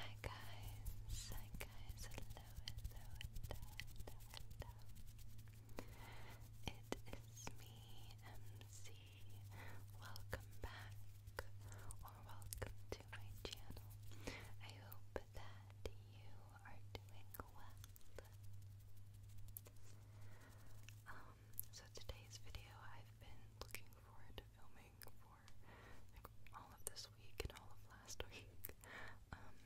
Hi guys, hi guys, hello, hello, hello, hello, It is me, MC. Welcome back, or welcome to my channel. I hope that you are doing well. Um, so today's video I've been looking forward to filming like for all of this week and all of last week. Um,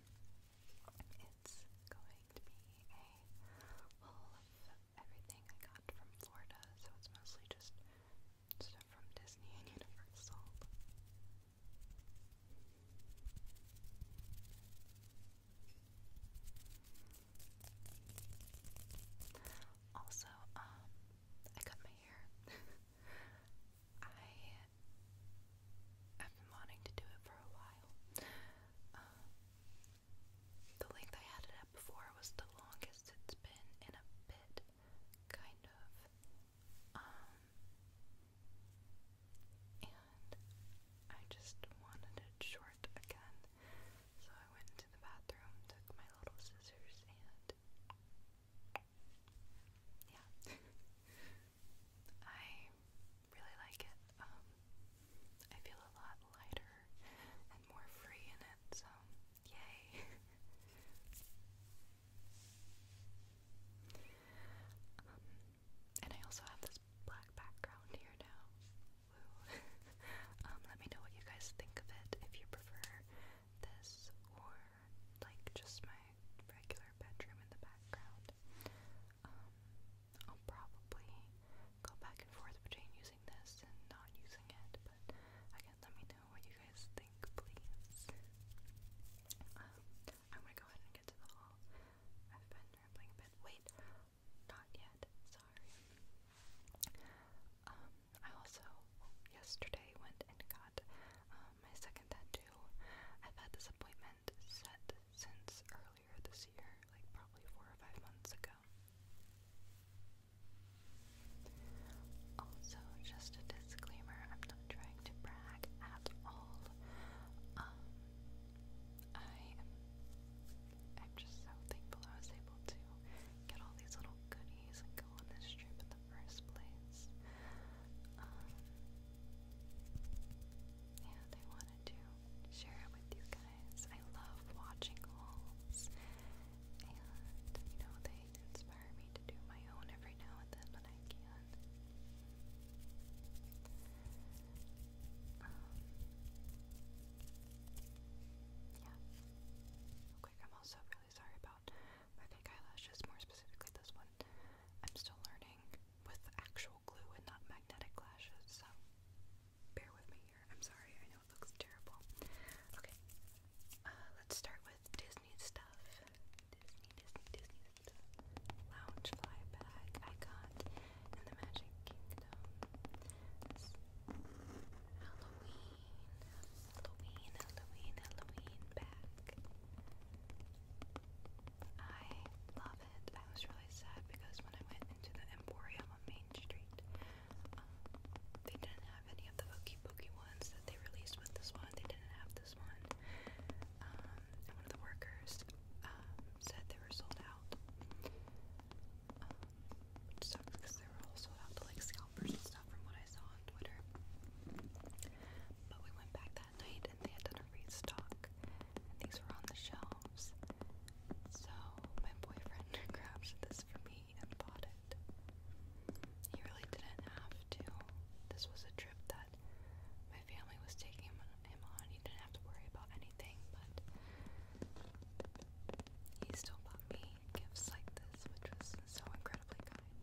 it's going to be a haul of everything I got from Florida, so it's mostly just stuff from Disney and Universal. Also, um, I cut my hair. I have been wanting to do it for a while. Um, the length I had it at before was the longest it's been in a bit, kind of. Um, and I just wanted it short again, so I went into the bathroom, took my little scissors, and it. Yeah. I really like it. Um, I feel a lot lighter and more free in it, so yay. and I also have this black background here now. Um, let me know what you guys think of it if you prefer this or like just my regular bedroom in the background. Um, I'll probably go back and forth between using this and not using it, but again, let me know what you guys think, please. Um, I'm gonna go ahead and get to the haul. I've been rambling a bit. Wait, not yet. Sorry. Um, I also yesterday went and got um, my second tattoo. I've had this appointment set since earlier this year, like probably four or five months ago. Also, just a disclaimer, I'm not trying to brag at all. Um, I am I'm just so thankful I was able to get all these little goodies and go on this trip in the first place. Um, yeah, wanted to share it with you guys. I love watching hauls, and you know, they inspire me to do my own every now and then when I can. Um, yeah. Oh, quick, I'm also sorry about my fake eyelashes, more specifically this one. I'm still learning with actual glue and not magnetic lashes, so bear with me here. I'm sorry, I know it looks terrible. Okay, uh, let's start with Disney stuff. Disney, Disney, Disney stuff. Lounge bag I got in the Magic Kingdom. Halloween, Halloween, Halloween, Halloween back. I love it. I was really sad because when I went into the Emporium on Main Street, um, they didn't have any of the Hokey Pokey ones that they released with this one. They didn't have this one. Um, one of the workers um, said they were sold out because they were all sold out to like scalpers and stuff from what I saw on Twitter. But we went back that night and they had a restock, and these were on the shelves. So my boyfriend grabbed this for me and bought it. He really didn't have to. This was a trip that my family was taking him on. He didn't have to worry about anything, but he still bought me gifts like this, which was so incredibly kind.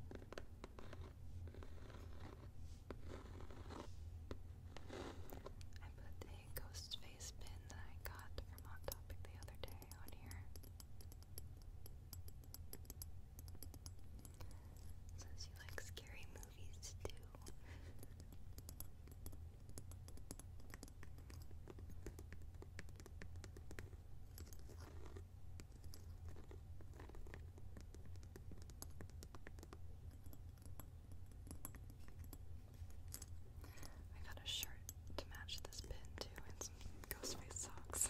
I put a ghost face pin that I got from Hot Topic the other day on here. says you like scary movies too. I got a shirt to match this pin too and some Ghostface socks.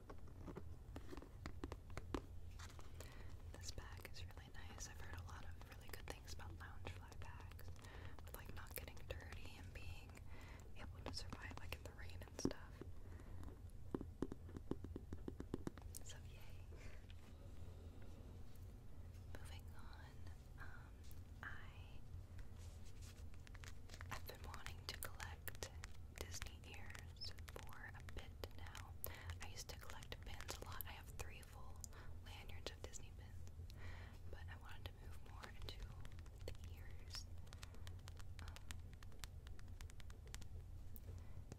This bag is really nice. I've heard a lot of really good things about loungefly bags, with like not getting dirty and being able to survive like in the rain and stuff. So yay. Moving on, um, I've been wanting to collect Disney the ears for a bit now. I used to collect pins a lot. I have three full lanyards of Disney pins, but I wanted to move more into the ears um,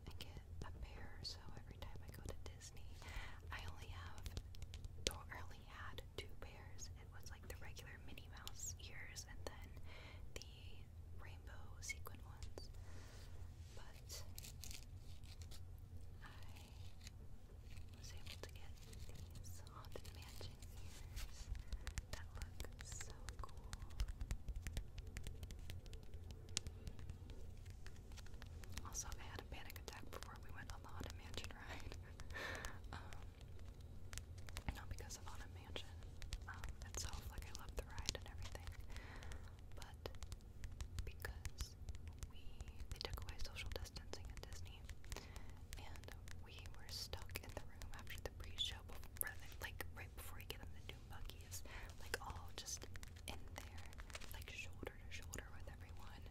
and get a pair. So every time I go to Disney, I only have, or only had two pairs. It was like the regular Minnie Mouse ears, and then the rainbow sequin ones, but I was able to get these Haunted Mansion ears that look so cool. Also, I had a panic attack before we went on the Haunted Mansion ride. um, because of Haunted mansion um, itself. Like, I love the ride and everything. But because we they took away social distancing at Disney, and we were stuck in the room after the pre-show, like right before we get in the Doom Buggies, like all just in there, like shoulder to shoulder with everyone.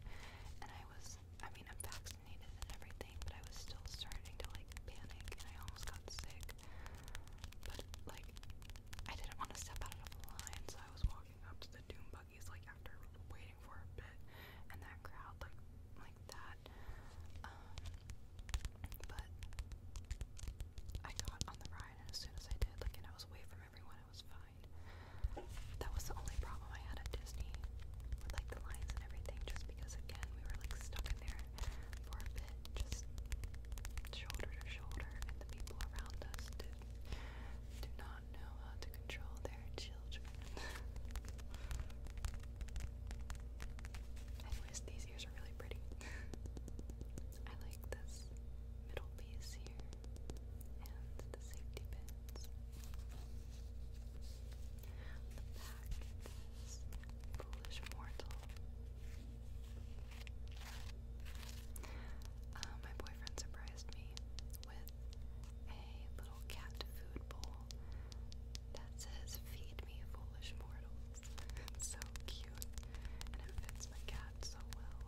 And I was, I mean, I'm vaccinated and everything, but I was still starting to like panic, and I almost got sick. But like, I didn't want to step out of the line, so I was walking up to the doom buggies like after waiting for a bit, and that crowd like like that. Um, but I got on the ride, and as soon as I did, like, and I was away from everyone, I was fine. That was the only problem I had at Disney with like the lines and everything, just because again we were like stuck in there for a bit, just shoulder to shoulder, and the people around us do, not know how to control their children. Anyways, these ears are really pretty. I like this middle piece here and the safety pins. The back is foolish mortal. Uh, my boyfriend surprised me with a little cat food bowl that says, Feed me, foolish mortals. it's so cute, and it fits my cat so well.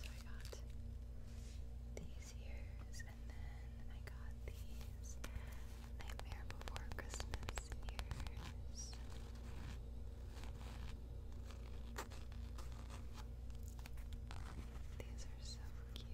So I got these ears, and then I got these Nightmare Before Christmas ears. These are so cute.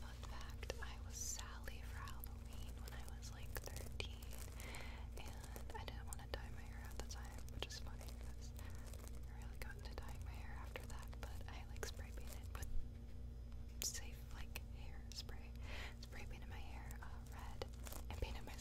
Fun fact, I was Sally for Halloween when I was like 13, and I didn't want to dye my hair at the time, which is funny because I really got into dyeing my hair after that, but I like spray painted with safe like hair spray. Spray painted my hair uh, red and painted my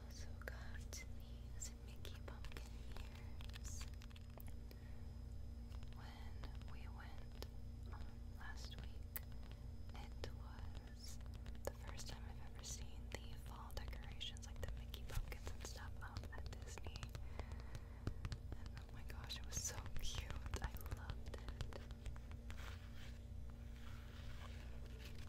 also got these Mickey pumpkin ears when we went on last week. It was the first time I've ever seen the fall decorations, like the Mickey pumpkins and stuff, up um, at Disney. And oh my gosh, it was so cute. I loved it. My boyfriend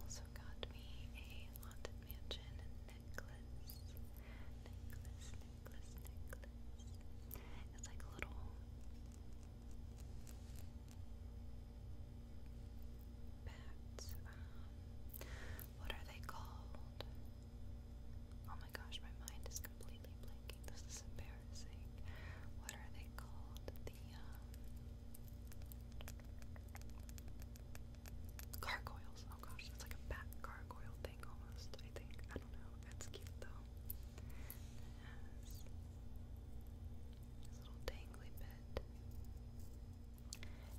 also got me a Haunted Mansion necklace. Necklace, necklace, necklace. It's like little bats. Um, what are they called? Oh my gosh, my mind is completely blanking. This is embarrassing. What are they called? The um, Gargoyles. Oh gosh, it's like a bat gargoyle thing almost, I think. I don't know. That's cute though. It little dangly bit.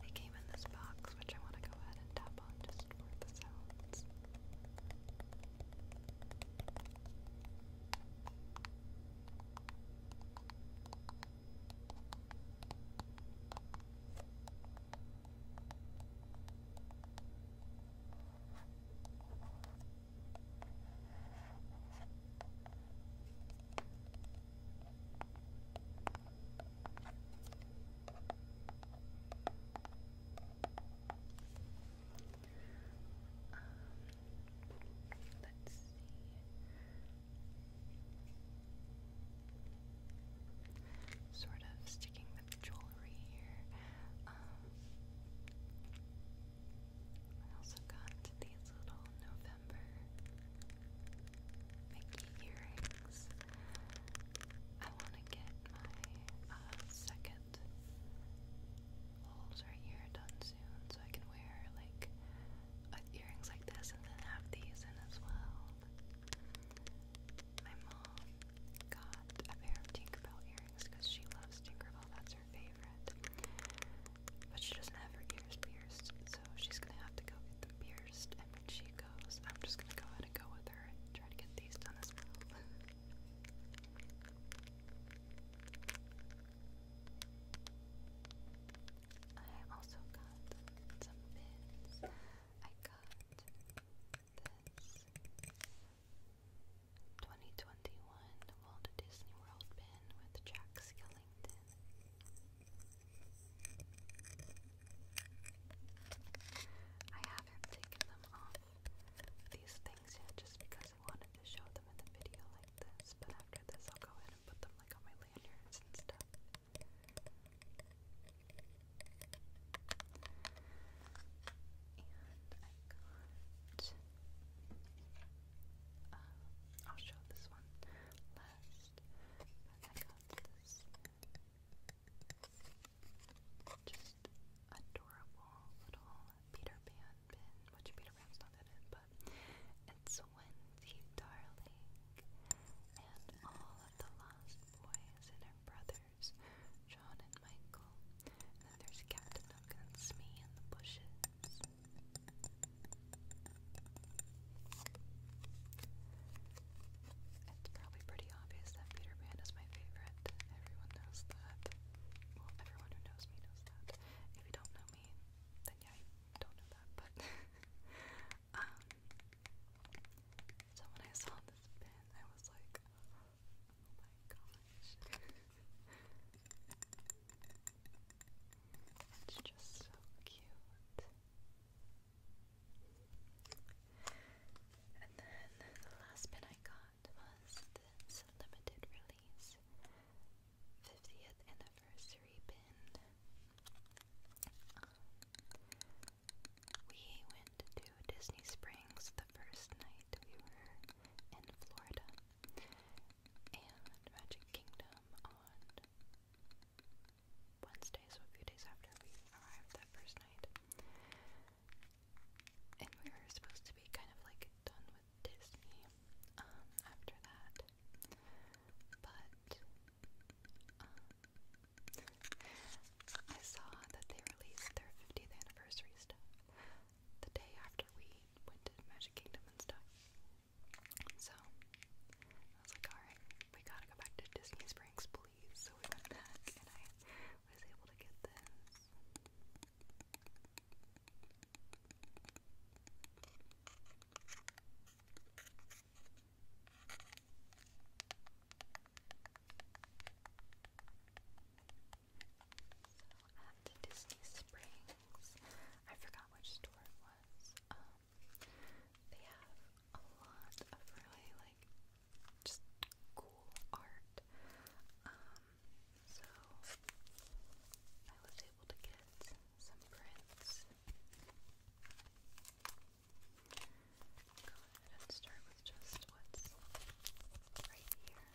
They came in this box, which I want to go ahead and tap on just for the sounds. Um, let's see. Sort of sticking with jewelry here. Um, I also got these little November Mickey earrings. I want to get my uh, second holes right here done soon so I can wear like uh, earrings like this and then have these in as well. My mom got a pair of Tinkerbell earrings because she loves Tinkerbell, that's her favorite. But she doesn't have her ears pierced, so she's gonna have to go get them pierced. And when she goes, I'm just gonna go ahead and go with her and try to get these done as well. I also got some pins. I got this 2021 Walt Disney World pin with Jack Skellington. I haven't taken them off these things yet just because I wanted to show them in the video like this, but after this I'll go ahead and put them like on my lanyards and stuff got, uh, I'll show this one last, I got this just adorable little Peter Pan pin, which Peter Pan's not in it, but it's Wendy Darling, and all of the Lost Boys and her brothers, John and Michael. then there's Captain Hook and in the bushes. It's probably pretty obvious that Peter Pan is my favorite. Everyone knows that. Well, everyone who knows me knows that. If you don't know me, then yeah, I don't know that, but um, so when I saw this pin, I was like, oh my gosh. it's just so cute. And then the last pin I got was this limited release 50th anniversary we went to Disney Springs the first night we were in Florida and Magic Kingdom on Wednesday, so a few days after we arrived that first night. And we were supposed to be kind of like done with Disney um, after that. But um, I saw that they released their 50th anniversary stuff the day after we went to Magic Kingdom and stuff. So I was like, alright, we gotta go back to Disney Springs, please. So we went back and I was able to get this at Disney Springs, I forgot which store it was. Um, they have a lot of really like just cool art. Um, so I was able to get some prints. Go ahead and start with just what's right here.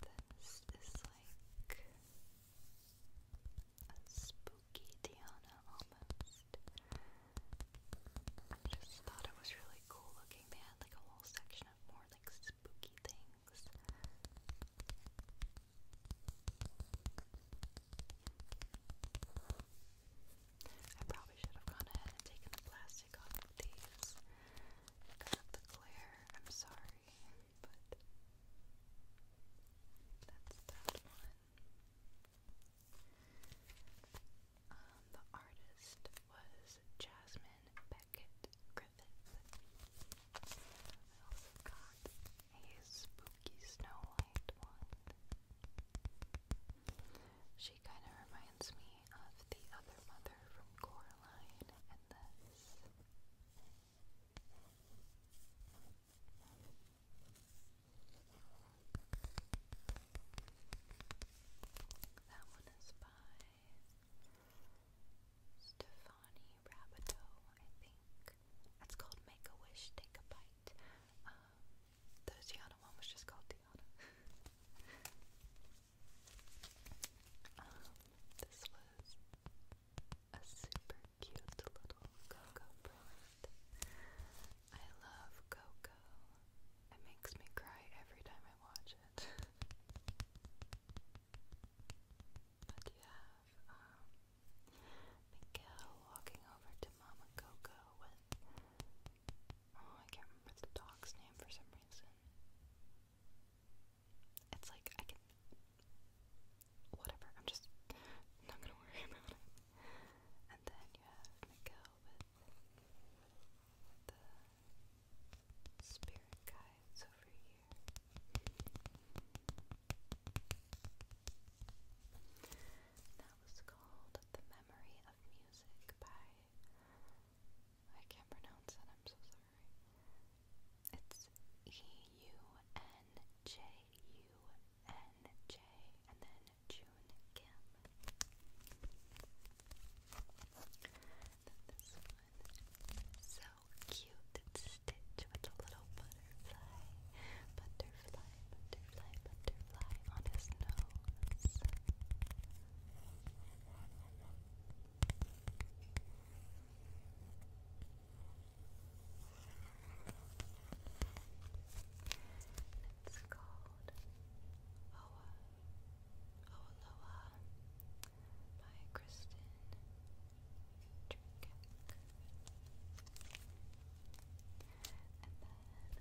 This is like a spooky Diana almost. I just thought it was really cool looking. They had like a whole section of more like spooky things. I probably should have gone ahead and taken the plastic off of these. I got the glare, I'm sorry, but that's that one. Um, the artist was Jasmine Beckett a spooky Snow White one. She kind of reminds me of the other mother from Coraline and this. That one is by Stefani Rabideau, I think. That's called Make a Wish, Take a Bite. Um, the Tiana one was just called Tiana. Um, this was a super cute little Coco print. I love Coco. It makes me cry every time I watch it. But you have um, Miguel walking over to Mama Coco with oh, I can't remember the dog's name for some reason. It's like I can whatever. I'm just not gonna worry about it. And then you have Miguel with the spirit guide sides over here. That was called The Memory of Music by. I can't pronounce it, I'm so sorry. It's E U N J U N J and then June Kim. Then this one. So cute Stitch with a little butterfly, butterfly, butterfly, butterfly on his nose. It's called Oa Oaloa by Kristen and then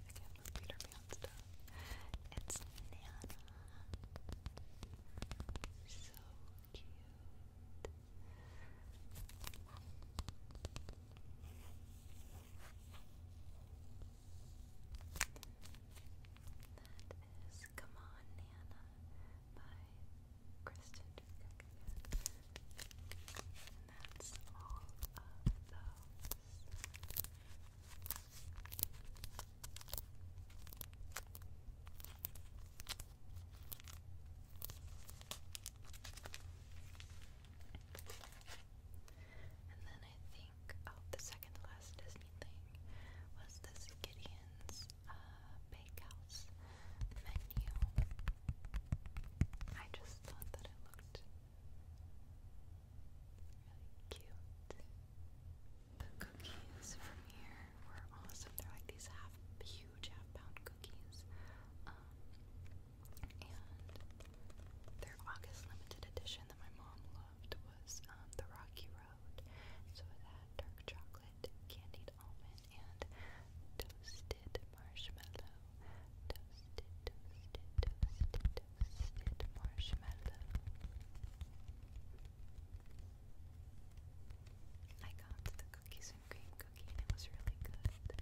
again Peter Pan stuff. It's Nana. So cute. That is Come On Nana by Kristen And that's all of those. And then I think, oh, the second last Disney thing was this Gideon's uh, bakehouse menu. I just thought that it looked really cute. The cookies from here were awesome. They're like these half huge half pound cookies. Um, and their August limited edition that my mom loved was um, the Rocky Road. So that dark chocolate candied almond and toasted marshmallow. Toasted, toasted, toasted, toasted marshmallow. I got the cookies and cream cookie and it was really good.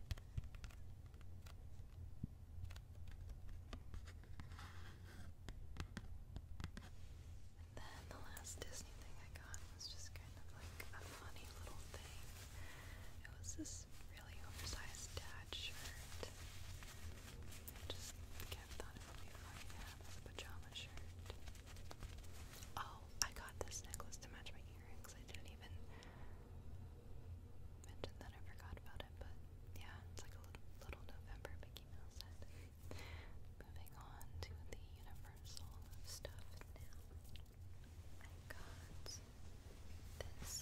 then the last is thing I got was just kind of like a funny little thing. It was this really oversized dad shirt. just kept thought it would be a pajama shirt. Oh, I got this necklace to match my earrings. I didn't even mention that I forgot about it, but yeah, it's like a little, little November Mickey Mouse set. Moving on to the Universal stuff now. I got this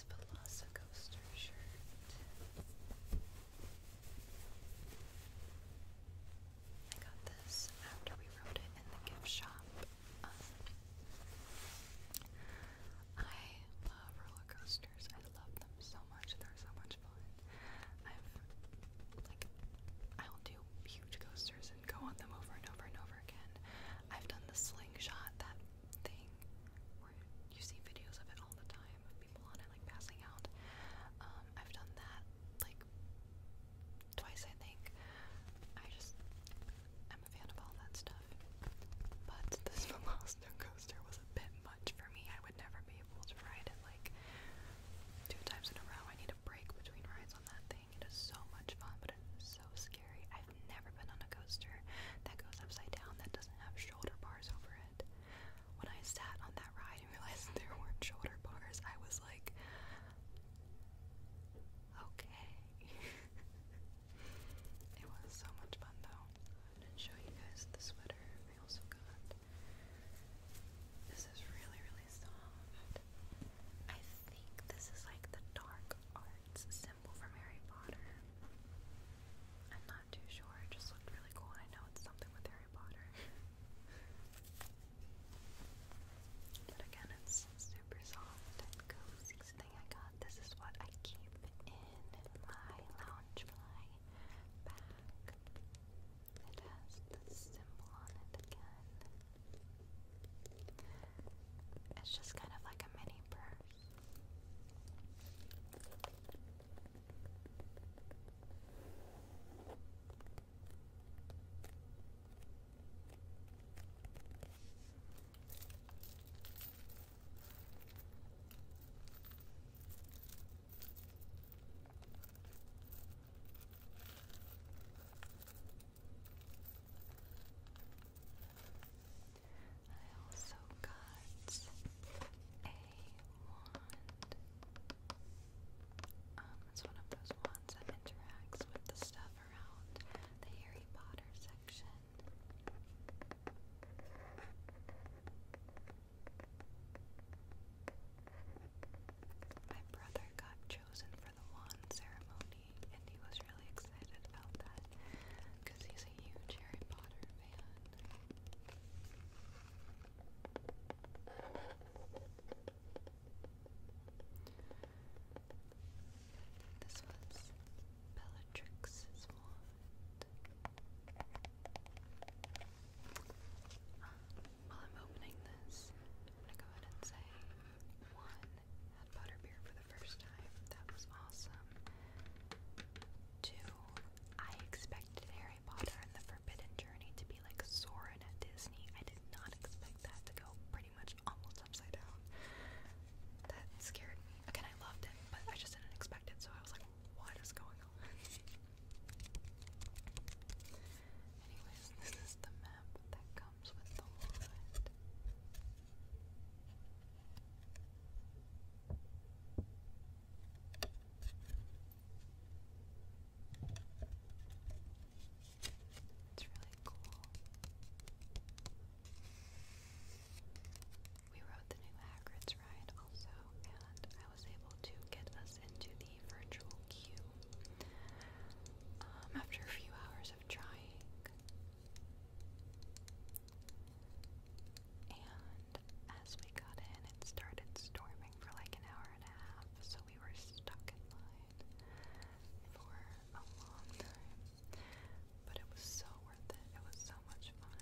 Velocicoaster shirt. I got this after we wrote it in the gift shop. Um, I love roller coasters. I love them so much. They're so much fun. I've like I'll do huge coasters and go on them over and over and over again. I've done the slingshot, that thing where you see videos of it all the time of people on it like passing out. Um, I've done that like twice, I think. I just I'm a fan of all that stuff. But this Velocino coaster was a bit much for me. I would never be able to ride it like two times in a row. I need a break between rides on that thing. It is so much fun, but it is so scary. I've never been on a coaster that goes upside down that doesn't have shoulder bars over it. When I sat on that ride and realized there weren't shoulder bars, I was like, okay. it was so much fun though. I show you guys the sweater I also got. This is really, really soft think this is like the dark arts symbol for Harry Potter. I'm not too sure, it just looked really cool, I know it's something with Harry Potter. but again, it's super soft and thing I got, this is what I keep in my lounge, my bag. It has the symbol on it again. It's just kind of like a mini purse. I also got a wand. Um, it's one of those wands that interacts with the stuff around the Harry Potter section. My brother got chosen for the wand ceremony and he was really excited about that because he's a huge Harry Potter fan. This was Bellatrix's wand. Um, while I'm opening this, I'm gonna go ahead and say one, had butterbeer for the first time. That was awesome. Two, I expected Harry Potter and the Forbidden Journey to be like Soarin' at Disney. I did not expect that to go pretty much almost upside down. That scared me. Again, I loved it, but I just didn't expect it, so I was like, what is going on? Anyways, this is the map that comes comes with It's really cool. We rode the new Hagrid's ride also, and I was able to get us into the virtual queue. Um, after a few hours trying. And as we got in, it started storming for like an hour and a half, so we were stuck in line for a long time. But it was so worth it, it was so much fun.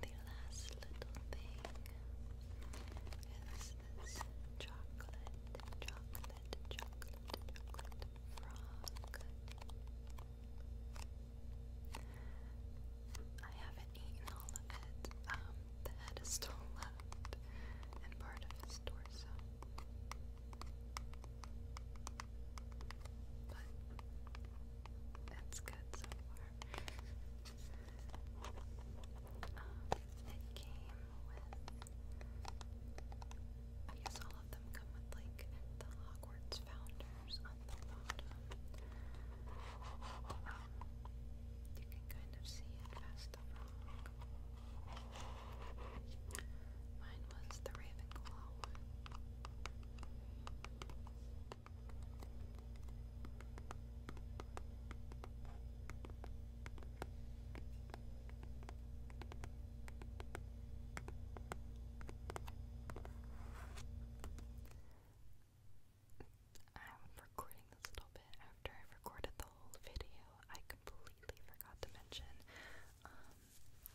the last little thing is this chocolate, chocolate, chocolate, chocolate frog. I haven't eaten all of it. Um, the head is still left and part of his torso. But that's good so far. Um, it came with, I guess all of them come with like the Hogwarts founders on the bottom. Um, you can kind of see it past the rock. Mine was the Ravenclaw one. I'm recording this little bit after I recorded the whole video. I completely forgot to mention. Um,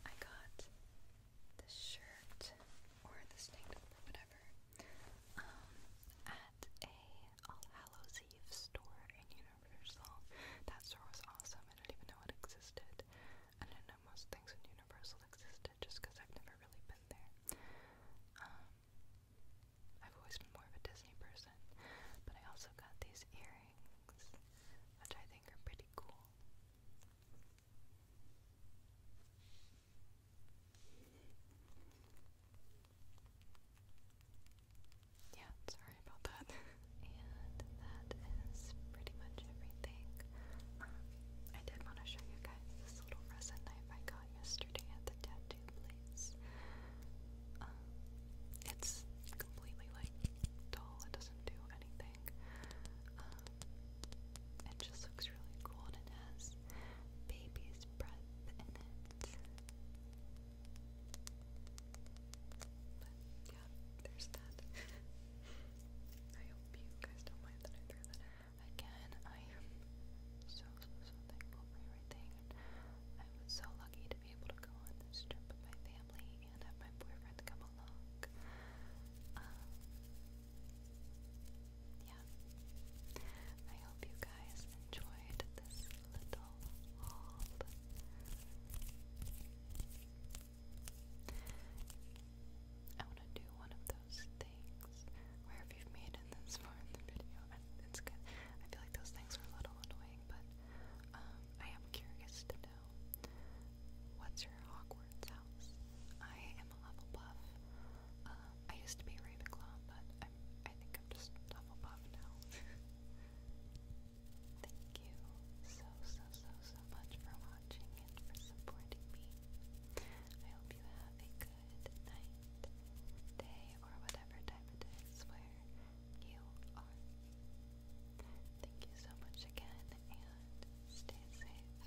I got this shirt or this tank whatever um, at a All Eve store in Universal. That store was awesome. I do not even know it existed. I do not know most things in Universal existed just because I've never really been there. Um, I've always been more of a Disney person, but I also got these earrings, which I think are pretty cool. Yeah, sorry about that. and that is pretty much everything. Um, I did want to show you guys this little resin knife I got yesterday at the tattoo place. Um, it's completely like dull, it doesn't do anything. Um, it just looks really cool and it has baby's breath in it. But yeah, there's that. I hope you guys don't mind that I threw that Again, I am so, so, so thankful for everything. I was so lucky to be able to go on this trip with my family and have my boyfriend come along. Um, yeah. I hope you guys enjoyed this little I want to do one of those things where if you've made it this far in the video, it's good. I feel like those things are a little annoying, but um, I am curious to know what's your Hogwarts house. I am a Hufflepuff. Uh, I used to be Ravenclaw, but I'm, I think I'm just Hufflepuff now. Thank you so, so, so, so much for watching and for supporting me. I hope you have a good night, day, or whatever time it is where you are. Thank you so much again, and stay safe.